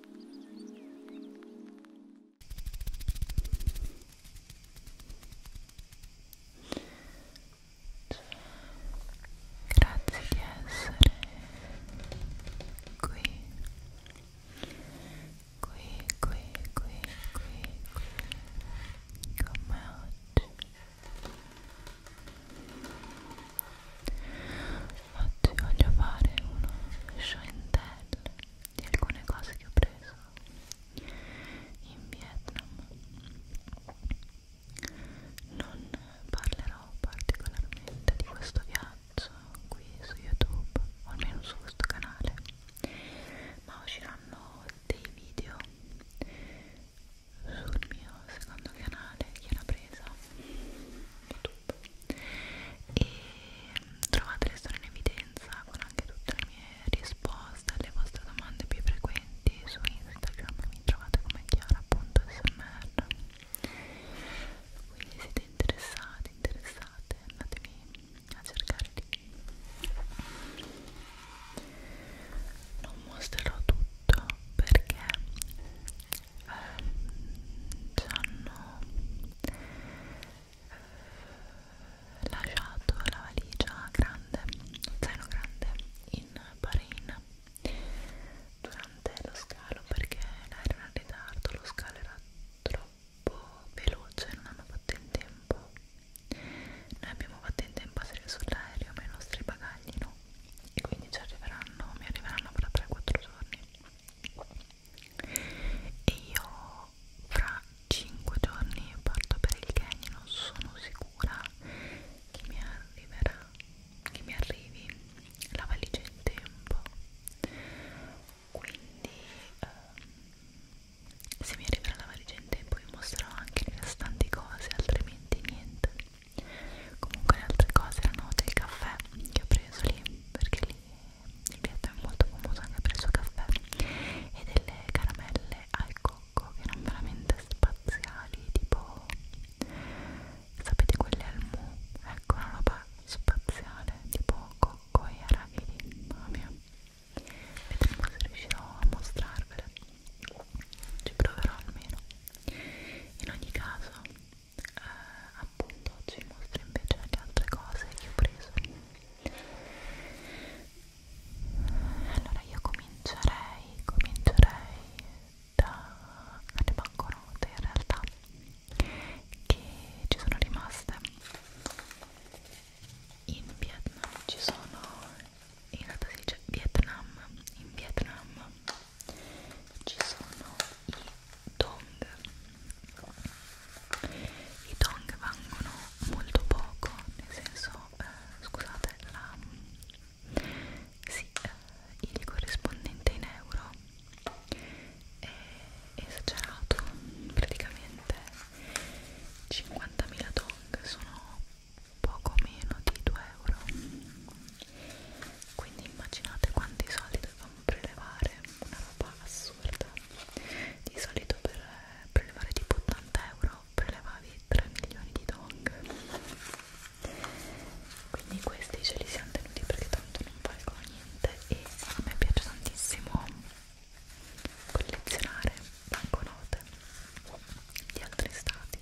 Grazie di essere qui, qui, qui, qui, qui, qui con me oggi. Oggi voglio fare uno show and tell di alcune cose che ho preso in Vietnam. Non parlerò particolarmente di questo viaggio qui su YouTube, o almeno su questo canale, ma usciranno dei video sul mio secondo canale Chiara Presa YouTube e mm, trovate le storie in evidenza con anche tutte le mie risposte alle vostre domande più frequenti su Instagram mi trovate come chiara.smr quindi siete interessati, interessate andatemi a cercare lì non mostrerò tutto perché ehm, ci hanno eh, lasciato la valigia grande, lo zaino grande in Bahrain durante lo scalo perché l'aereo era in ritardo, lo scalo era troppo veloce, non hanno fatto in tempo. Noi abbiamo fatto in tempo a salire sull'aereo, ma i nostri bagagli no e quindi ci arriveranno, mi arriveranno fra 3-4 giorni e io fra 5 giorni parto per il Kenya non sono sicura che mi arriverà che mi arrivi la valigia in tempo quindi ehm, se mi arriverà la valigia in tempo vi mostrerò anche le restanti cose altrimenti niente comunque le altre cose erano del caffè che ho preso lì perché lì il piatto è molto famoso anche per il suo caffè e delle caramelle al cocco che erano veramente spaziali tipo sapete quelle al mu ecco una roba spaziale tipo cocco e arachidi mamma mia vedremo se riuscirò a mostrarvele ci proverò almeno in ogni caso eh, appunto oggi vi mostro invece le altre cose che ho preso allora io comincerei comincerei dalle banconote in realtà che ci sono rimaste in Vietnam ci sono in realtà si dice Vietnam in Vietnam ci sono i dong i dong vengono molto poco nel senso eh, scusate la sì, eh, il corrispondente in euro è esagerato praticamente 50.000 dong sono poco meno di 2 euro quindi immaginate quanti soldi dobbiamo prelevare una roba assurda di solito per prelevare tipo 80 euro prelevavi 3 milioni di dong quindi questi ce li siamo tenuti perché tanto non valgono niente e a me piace tantissimo collezionare banconote di altri stati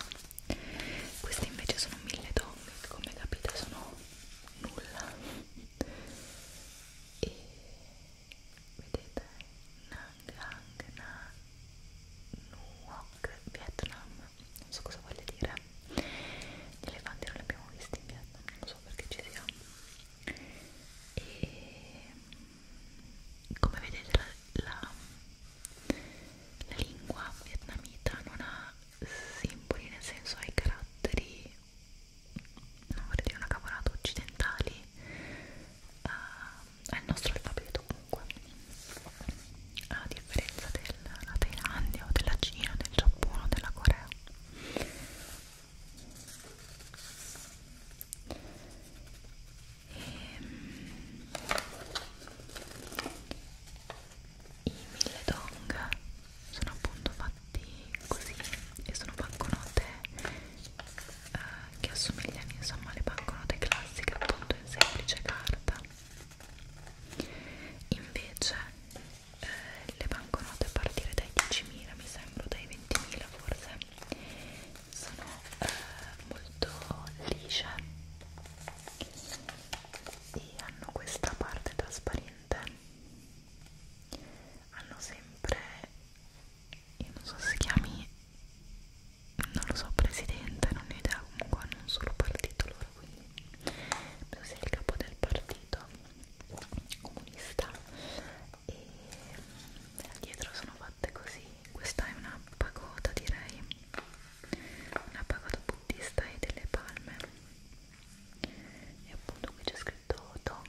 queste invece sono mille donne che come capite sono nulla e vedete Nangang na Nuoc Vietnam non so cosa voglia dire gli elefanti non li abbiamo visti in Vietnam non so perché ci siamo e come vedete la, la la lingua vietnamita non ha simboli, nel senso ha i caratteri, non vorrei dire una cavolata, occidentali uh, ah, al nostro alfabeto comunque, a differenza della Thailandia o della Cina, del Giappone o della Corea e, ehm, i mille dong sono appunto fatti così e sono banconote eh, che assomigliano insomma alle banconote classiche appunto in semplice carta invece eh, le banconote a partire dai 10.000 mi sembra dai 20.000 forse sono eh, molto lisce e hanno questa parte trasparente hanno sempre io non so se si chiami non lo so presidente non ho idea comunque hanno un solo partito loro quindi penso sia il capo del partito comunista e dietro sono fatte così questa è una pagoda direi una pagoda buddista e delle palme e appunto qui c'è scritto Tong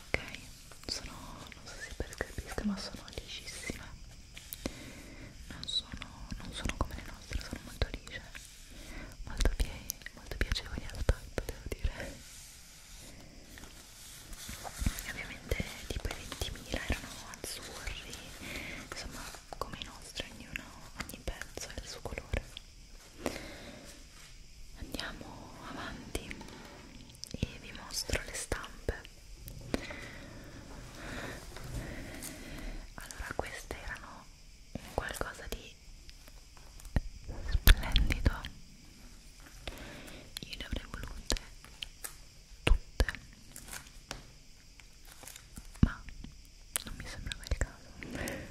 ok sono non so se percepisca ma sono liscissime non sono, non sono come le nostre sono molto lisce molto, pie molto piacevoli al tatto devo dire e ovviamente tipo i 20.000 erano azzurri insomma come i nostri, ognuno, ogni pezzo ha il suo colore. Andiamo avanti e vi mostro le stampe. Allora, queste erano qualcosa di splendido. Io le avrei volute tutte ma non mi sembrava il caso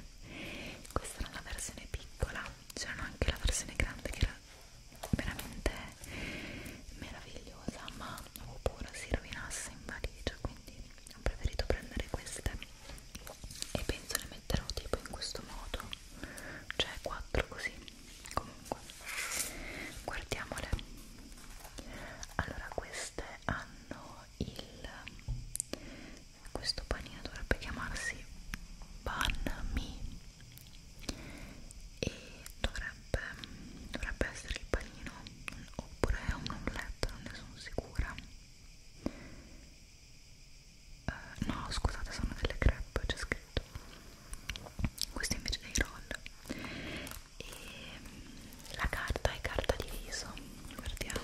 questa era la versione piccola c'erano anche la versione grande che era veramente meravigliosa ma avevo paura si rovinasse in valigia quindi ho preferito prendere queste e penso le metterò tipo in questo modo cioè quattro così comunque guardiamole allora queste hanno il questo panino dovrebbe chiamarsi pan mi e dovrebbe, dovrebbe essere il panino oppure è un omelette, non ne sono sicura uh, no scusate sono delle crepe c'è scritto questo invece dei roll e la carta è carta di viso guardiamo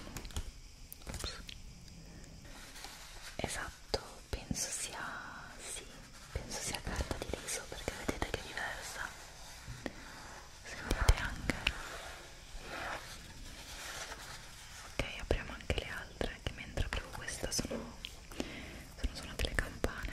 Ops. esatto penso sia sì penso sia carta di viso perché vedete che è diversa sentite anche ok apriamo anche le altre che mentre aprivo questa sono sono suonate le campane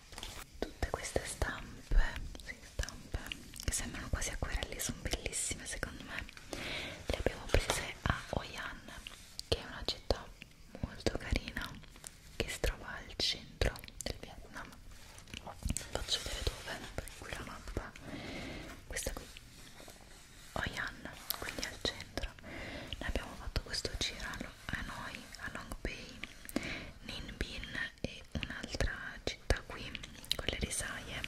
tutte queste stampe, sì, stampe che sembrano quasi acquerelli, sono bellissime secondo me le abbiamo prese a Oyan che è una città molto carina che si trova al centro del Vietnam faccio vedere dove, per qui la mappa questa qui Oyan, quindi al centro ne abbiamo fatto questo giro Hanoi, a Long Bay, Ninbin e un'altra città qui con le risaie.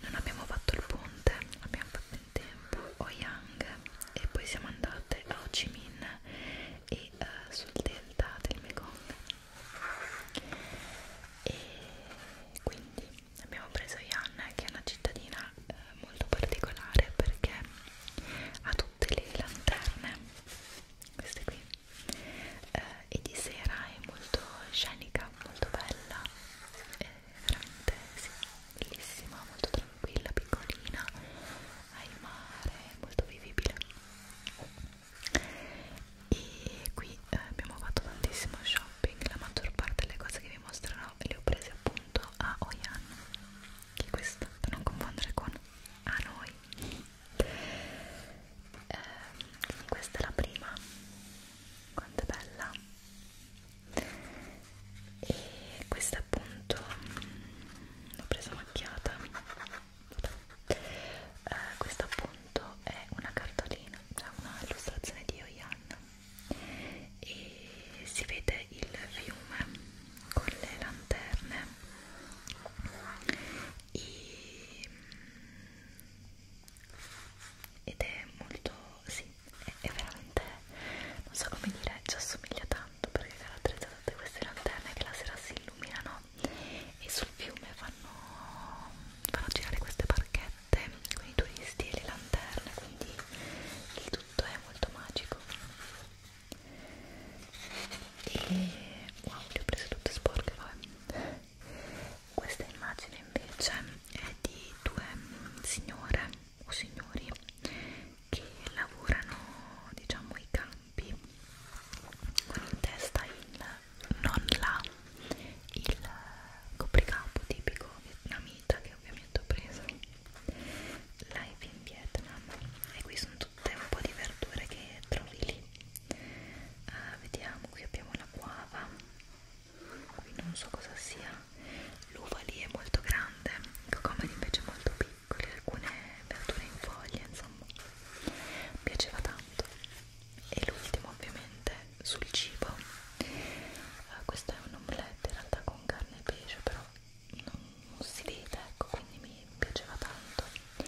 Non abbiamo fatto il ponte, abbiamo fatto in tempo Ho Yang e poi siamo andate a Ho Chi Minh e uh, sul delta del Mekong. E quindi abbiamo preso Yan che è una cittadina eh, molto particolare perché ha tutte le lanterne queste qui eh, e di sera è molto scenica, molto bella è veramente sì, bellissima, molto tranquilla, piccolina al mare, molto vivibile e qui eh, abbiamo fatto tantissimo shopping la maggior parte delle cose che vi mostrerò le ho prese appunto a Oyan che questo da non confondere con a noi eh, quindi questa è la prima quanto è bella e questa appunto mm, l'ho presa macchiata eh, questa appunto è una cartolina cioè una illustrazione di Oyan e si vede il fiume con le lanterne e, mm, ed è molto sì è, è veramente non so come dire ci assomiglia tanto perché caratterizzano tutte queste lanterne che la sera si illuminano e sul fiume fanno, fanno girare queste barchette con i turisti e le lanterne quindi il tutto è molto magico e wow le ho prese tutte sporche poi questa immagine invece è di due signore o signori che lavorano diciamo i campi con in testa il non la il copricapo tipico vietnamita che ovviamente ho preso live in Vietnam e qui sono tutte un po' di verdure che trovi lì uh, vediamo qui abbiamo la guava qui non so cosa sia l'uva lì è molto grande i cocomeri invece molto piccoli alcune verdure in foglia insomma mi piaceva tanto e l'ultimo ovviamente sul cibo uh, questo è un omelette in realtà con carne e pesce però non si vede ecco quindi mi piaceva tanto e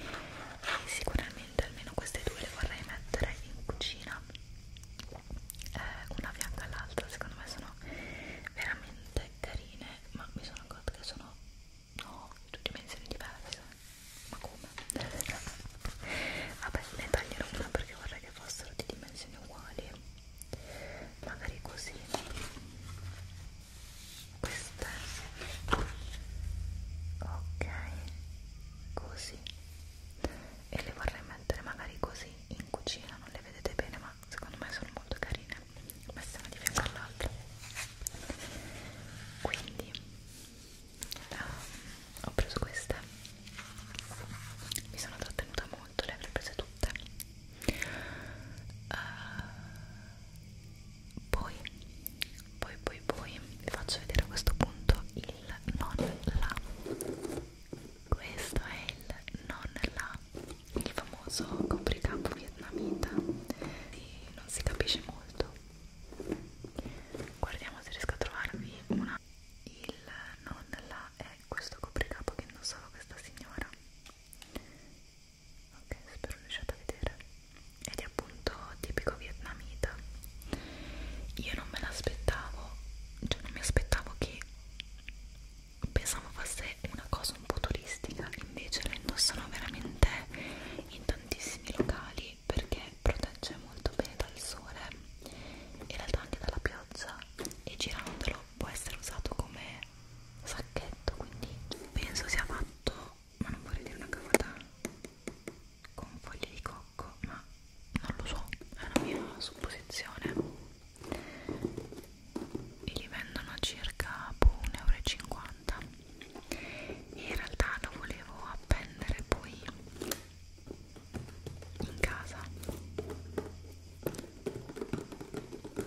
sicuramente almeno queste due le vorrei mettere in cucina eh, una fianca all'altra secondo me sono veramente carine ma mi sono accorta che sono no, due dimensioni diverse ma come? vabbè ne taglierò una perché vorrei che fossero di dimensioni uguali magari così queste ok così e le vorrei mettere magari così in cucina non le vedete bene ma secondo me sono molto carine messe una di fianco all'altra quindi uh, ho preso queste mi sono trattenuta molto le avrei prese tutte uh, poi poi poi poi vi faccio vedere a questo punto il non la questo è il non la il famoso copricapo vietnamita e non si capisce molto guardiamo se riesco a trovarvi una il non la è questo copricapo che indossava questa signora ok spero riusciate a vedere ed è appunto tipico vietnamita io non me l'aspettavo cioè non mi aspettavo che pensavo fosse una cosa un po' turistica invece la indossano veramente in tantissimi locali perché protegge molto bene dal sole e in realtà anche dalla pioggia e girandolo può essere usato come sacchetto quindi penso sia fatto ma non vorrei dire una cavata con foglie di cocco ma non lo so è una mia supposizione e li vendono a circa 1,50 boh, euro e in realtà lo volevo appendere poi in casa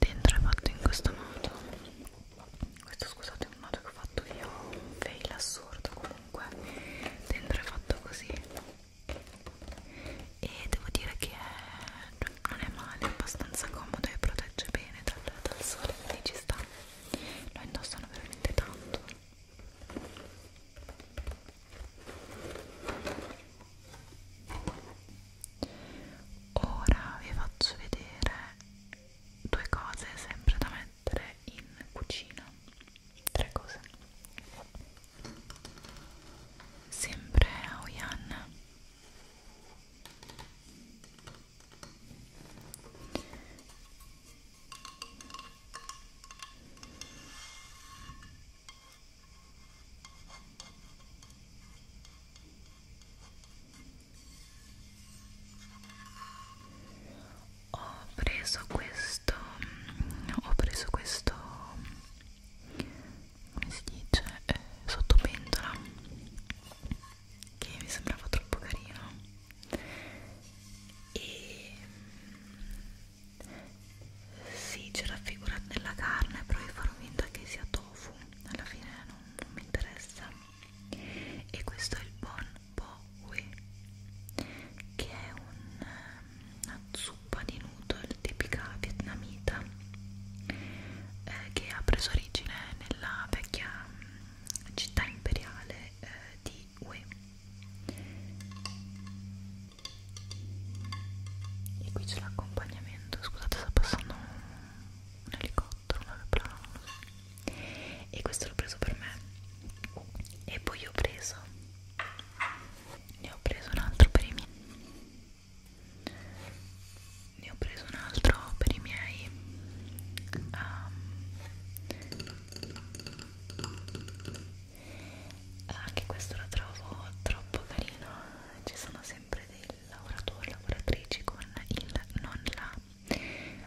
Dentro è fatto in questo modo. Questo scusate è un modo che ho fatto io, un fail assurdo comunque. Dentro è fatto così e devo dire che è, non è male, è abbastanza comodo e protegge bene dal, dal sole, quindi ci sta. Lo indossano veramente tanto. Ora vi faccio vedere due cose sempre da mettere in cucina. Tre cose sempre Aoyan ho preso questo ho preso questo come si dice eh, sottopentola che mi sembrava troppo carino e sì c'è raffigurata nella carne però io farò finta che sia tofu alla fine non, non mi interessa e questo è il Bon Bowie che è un una zuppa di noodle tipica vietnamita eh, che ha preso origine nella vecchia mm, città imperiale eh, di Hue e qui c'è l'accompagnamento scusate sta passando un, un elicottero un aeroplano non lo so. e questo l'ho preso per me e poi ho preso ne ho preso un altro per i miei ne ho preso un altro per i miei um, anche ah, questo lo trovo troppo carino ci sono sempre dei lavoratori lavoratrici con il non là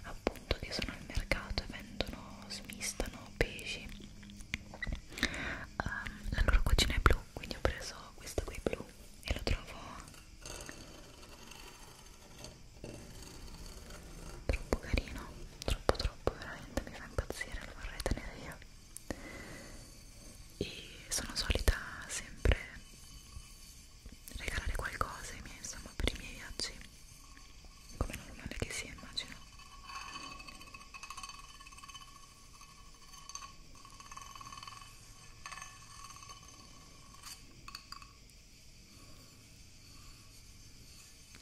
appunto che sono al mercato e vendono smistano pesci um, la loro cucina è blu quindi ho preso questo qui blu e lo trovo troppo carino troppo troppo veramente mi fa impazzire lo vorrei tenere io e sono solita sempre regalare qualcosa ai miei, insomma per i miei viaggi come normale che sia immagino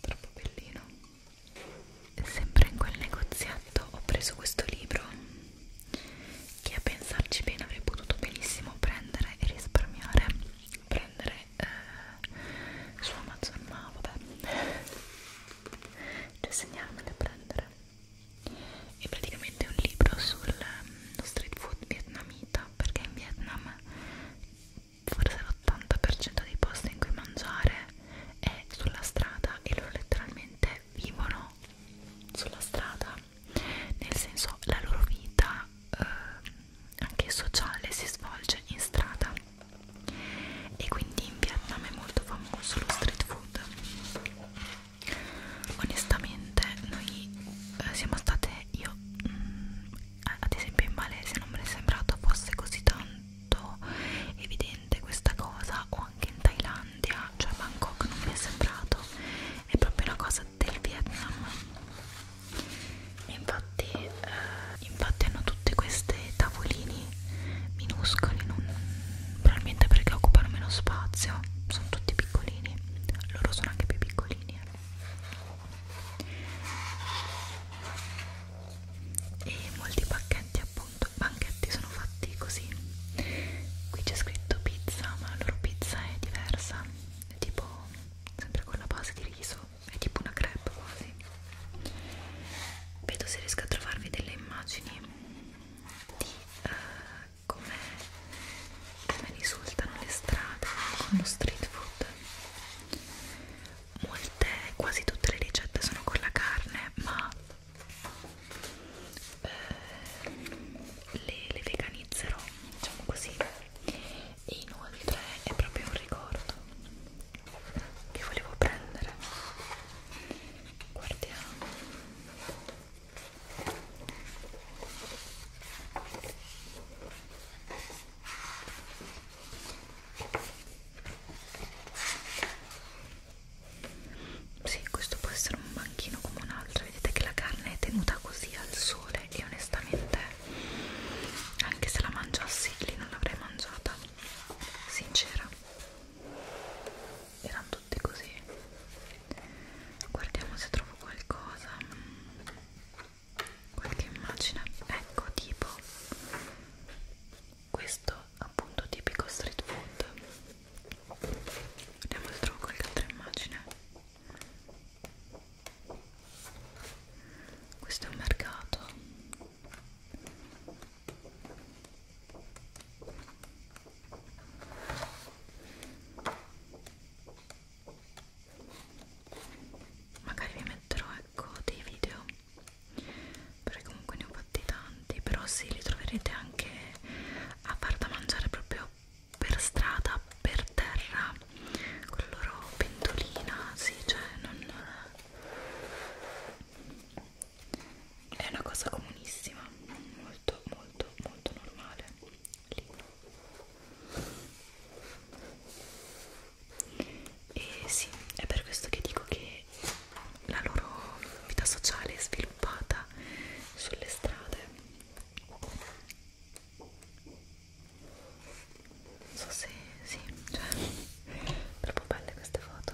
troppo bellino sempre in quel negozietto ho preso questo libro che a pensarci bene avrei potuto benissimo prendere e risparmiare prendere eh, su Amazon ma vabbè da cioè, segnarmi da prendere è praticamente un libro sul ehm, street food vietnamita perché in Vietnam forse l'80% dei posti in cui mangiare è sulla strada e loro letteralmente vivono sulla strada nel senso la loro vita eh, anche sociale si svolge in strada e quindi in Vietnam è molto famoso lo street food onestamente noi eh, siamo state io mh, mm, ad esempio in Malesia non me ne è sembrato fosse così tanto evidente questa cosa o anche in Thailandia cioè Bangkok non mi è sembrato è proprio una cosa del Vietnam e infatti, eh, infatti hanno tutte queste tavolini minuscoli non, probabilmente perché occupano meno spazio sono tutti piccolini loro sono anche più piccolini e molti pacchetti appunto banchetti sono fatti così qui c'è scritto pizza ma la loro pizza è diversa è tipo sempre con la base di riso è tipo una crepe quasi vedo se riesco a trovarvi delle immagini di uh, come, come risultano le strade con lo street food molte, quasi tutte le ricette sono con la carne ma eh, le, le veganizzerò diciamo così e inoltre è proprio un ricordo che volevo prendere guardiamo sì questo può essere un banchino come un altro vedete che la carne è tenuta così al sole e onestamente anche se la mangiassi lì non l'avrei mangiata sincera erano tutte così guardiamo se trovo qualcosa qualche immagine ecco tipo questo appunto tipico street food vediamo se trovo qualche altra immagine questo è un mercato magari vi metterò ecco dei video perché comunque ne ho fatti tanti però sì li troverete anche a far da mangiare proprio per strada per terra con la loro pentolina sì cioè non è una cosa comunissima molto molto molto normale lì. e sì è per questo che dico che la loro vita sociale è sviluppata sulle strade non so se sì, cioè troppo belle queste foto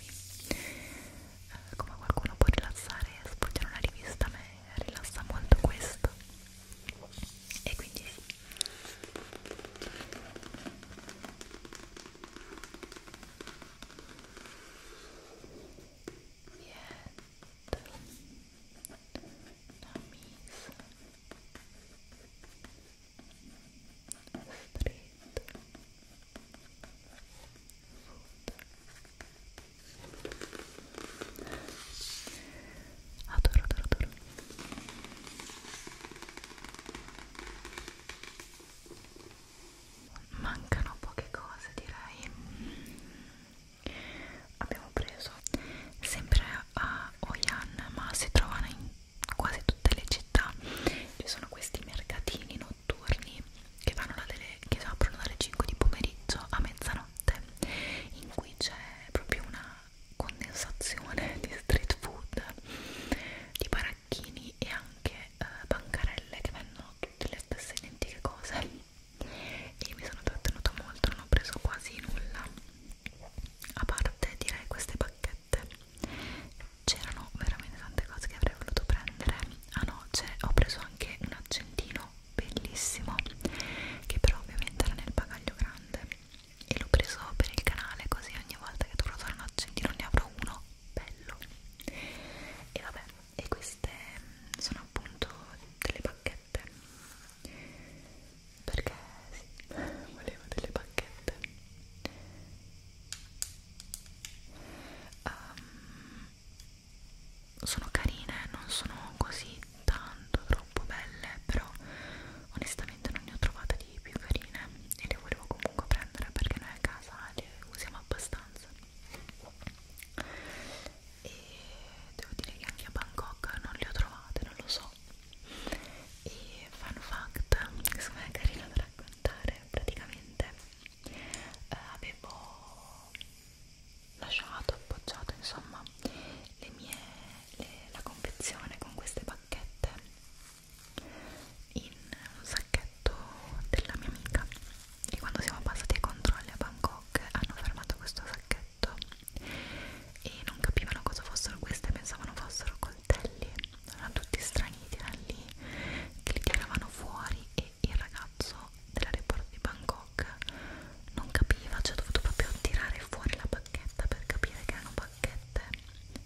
rilassarmi eh, come qualcuno può rilassare sfogliare una rivista a me rilassa molto questo e quindi sì niente una misa Adoro, adoro, adoro. Mancano poche cose, direi. Abbiamo preso sempre a Oyan, ma si trovano in quasi tutte le città ci sono questi mercatini notturni che, vanno delle, che aprono dalle 5 di pomeriggio a mezzanotte in cui c'è proprio una condensazione di street food di baracchini e anche eh, bancarelle che vendono tutte le stesse identiche cose e mi sono trattenuta molto non ho preso quasi nulla a parte direi queste bacchette 7 c'erano veramente tante cose che avrei voluto prendere ah no, ho preso anche un accendino bellissimo che però ovviamente era nel bagaglio grande e l'ho preso per il canale così ogni volta che dovrò usare un accendino ne avrò uno bello e vabbè e queste mm, sono appunto delle bacchette perché sì, volevo delle bacchette um, sono carine, non sono così tanto troppo belle, però onestamente non ne ho trovate di più carine e le volevo comunque prendere perché noi a casa le usiamo abbastanza e devo dire che anche a Bangkok non le ho trovate, non lo so e fun fact, secondo me è carino da raccontare praticamente eh, avevo lasciato, appoggiato insomma le mie, le, la confezione con queste bacchette in un sacchetto della mia amica e quando siamo passati ai controlli a Bangkok hanno fermato questo sacchetto e non capivano cosa fossero queste, pensavano fossero coltelli erano tutti strani lì che li tiravano fuori e il ragazzo dell'aeroporto di Bangkok non capiva, cioè ha dovuto proprio tirare fuori la bacchetta per capire che erano bacchette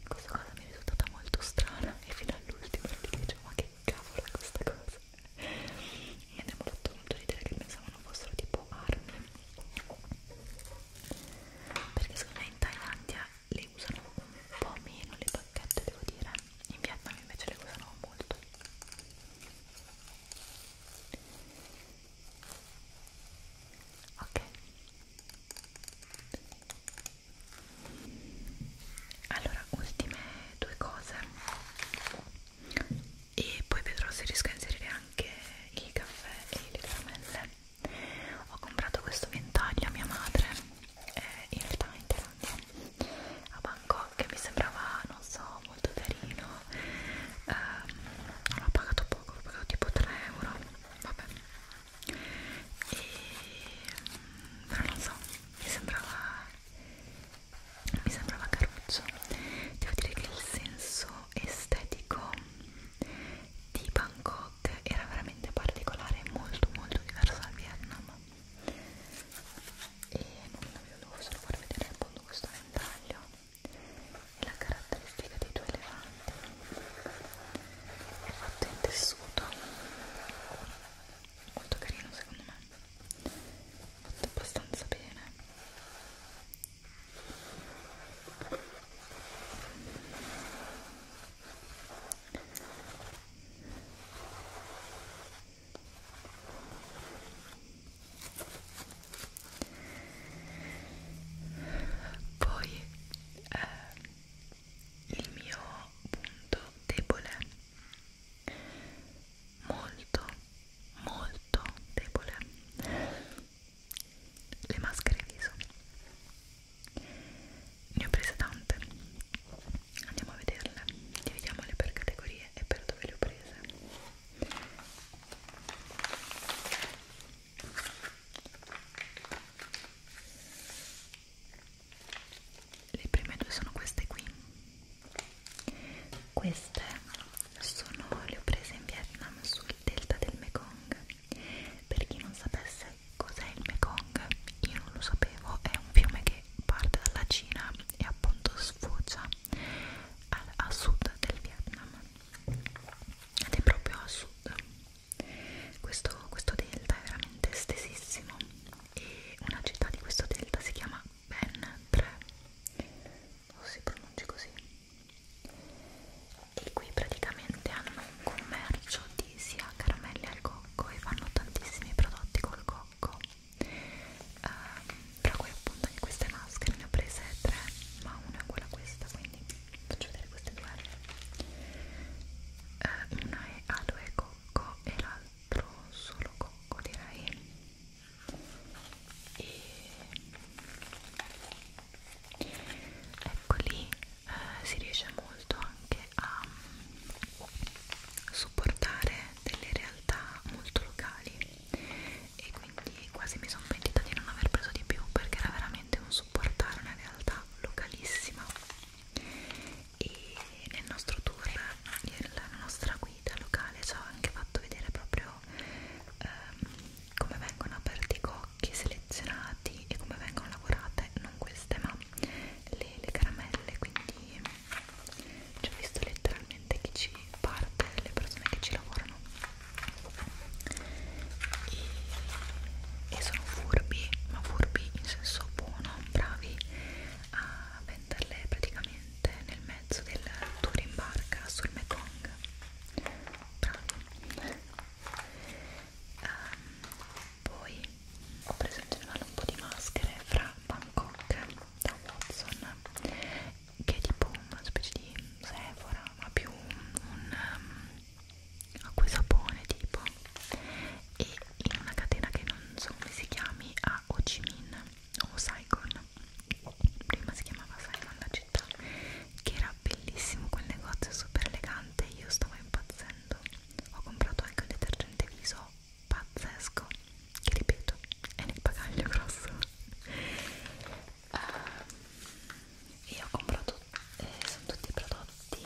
questa cosa mi è risultata molto strana e fino all'ultimo dicevo ma che cavolo è questa cosa mi abbiamo fatto molto ridere che pensavano fossero tipo armi perché secondo me in Thailandia le usano un po' meno le bacchette devo dire in Vietnam invece le usano molto ok allora ultime due cose e poi vedrò se riesco a inserire anche il caffè e le caramelle ho comprato questo ventaglio a mia madre eh, in realtà in Thailandia a Bangkok che mi sembrava non so molto carino eh, l'ho pagato poco l'ho pagato tipo 3 euro vabbè e, però non so mi sembrava mi sembrava caruccio devo dire che il senso estetico di Bangkok look era veramente particolare molto molto diverso dal Vietnam e non vi volevo solo far vedere appunto questo ventaglio e la caratteristica dei due elefanti è fatto in tessuto molto carino secondo me fatto abbastanza bene poi eh, il mio punto debole molto molto debole le maschere viso ne ho prese tante andiamo a vederle dividiamole per categorie e per dove le ho prese le prime due sono queste qui queste sono le ho prese in Vietnam sul delta del Mekong per chi non sapesse Cos'è il Mekong? Io non lo sapevo, è un fiume che parte dalla Cina e appunto sfocia al, a sud del Vietnam ed è proprio a sud. Questo, questo delta è veramente estesissimo e una città di questo delta si chiama Ben 3 o si pronuncia così e qui praticamente hanno un commercio di quindi si ha caramelle al cocco e fanno tantissimi prodotti col cocco um, tra cui appunto anche queste maschere ne ho prese tre ma una è quella questa quindi faccio vedere queste due uh, una è aloe e cocco e l'altro solo cocco direi e eccoli eh, si riesce molto anche a mm, supportare delle realtà molto locali e quindi quasi mi sono pentita di non aver preso di più perché era veramente un supportare una realtà localissima e nel nostro tour la nostra guida locale ci ha anche fatto vedere proprio ehm, come vengono aperti i fiocchi selezionati e come vengono lavorate non queste ma le, le caramelle quindi ci ho visto letteralmente chi ci parte le persone che ci lavorano e, e sono furbi ma furbi in senso buono bravi a venderle praticamente nel mezzo del tour in barca sul Mekong bravi um, poi ho preso in generale un po' di maschere fra Bangkok da Watson che è tipo una specie di Sephora ma più un um, acqua e sapone tipo e in una catena che non so come si chiami a Ho Chi Minh o Saigon prima si chiamava Saigon la città che era bellissimo quel negozio super elegante io stavo impazzendo ho comprato anche un detergente viso pazzesco che ripeto è nel bagaglio grosso uh, eh, e ho comprato eh, sono tutti prodotti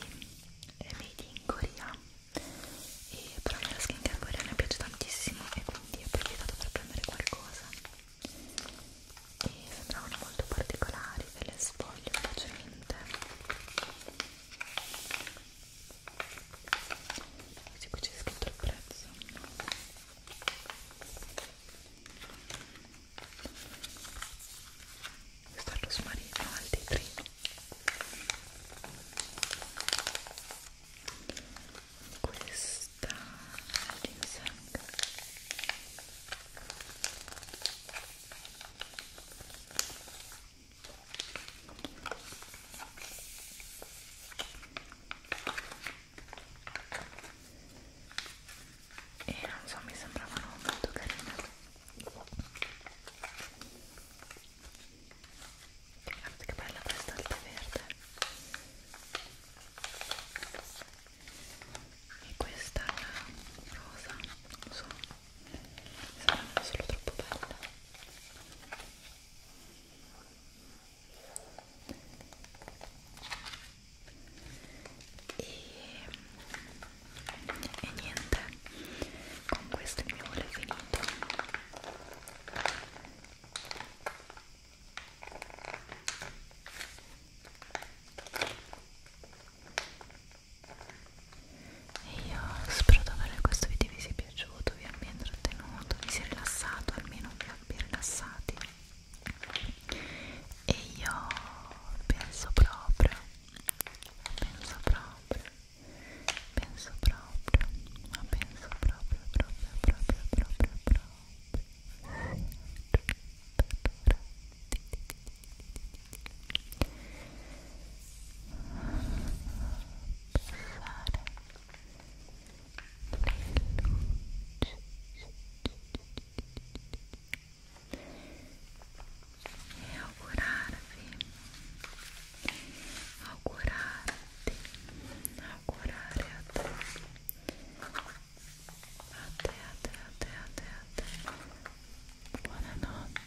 eh, made in Corea e però la skincare coreana mi piace tantissimo e quindi ho approfittato per prendere qualcosa e sembravano molto particolari ve le sfoglio velocemente così qui c'è scritto il prezzo questo è il rosmarino al detrino questa è ginseng e non so mi sembravano molto carine guardate che bella questa alta verde e questa rosa non so saranno solo troppo belle e, e niente con questo il mio volo è finito e io spero davvero che questo video vi sia piaciuto, vi abbia intrattenuto, vi sia rilassato, almeno vi abbia rilassati e io penso proprio, penso proprio, penso proprio, ma penso proprio, proprio, proprio, proprio, proprio, proprio. É augurar-te, augurar-te, augurar é até, até, até, até, até, até, boa noite.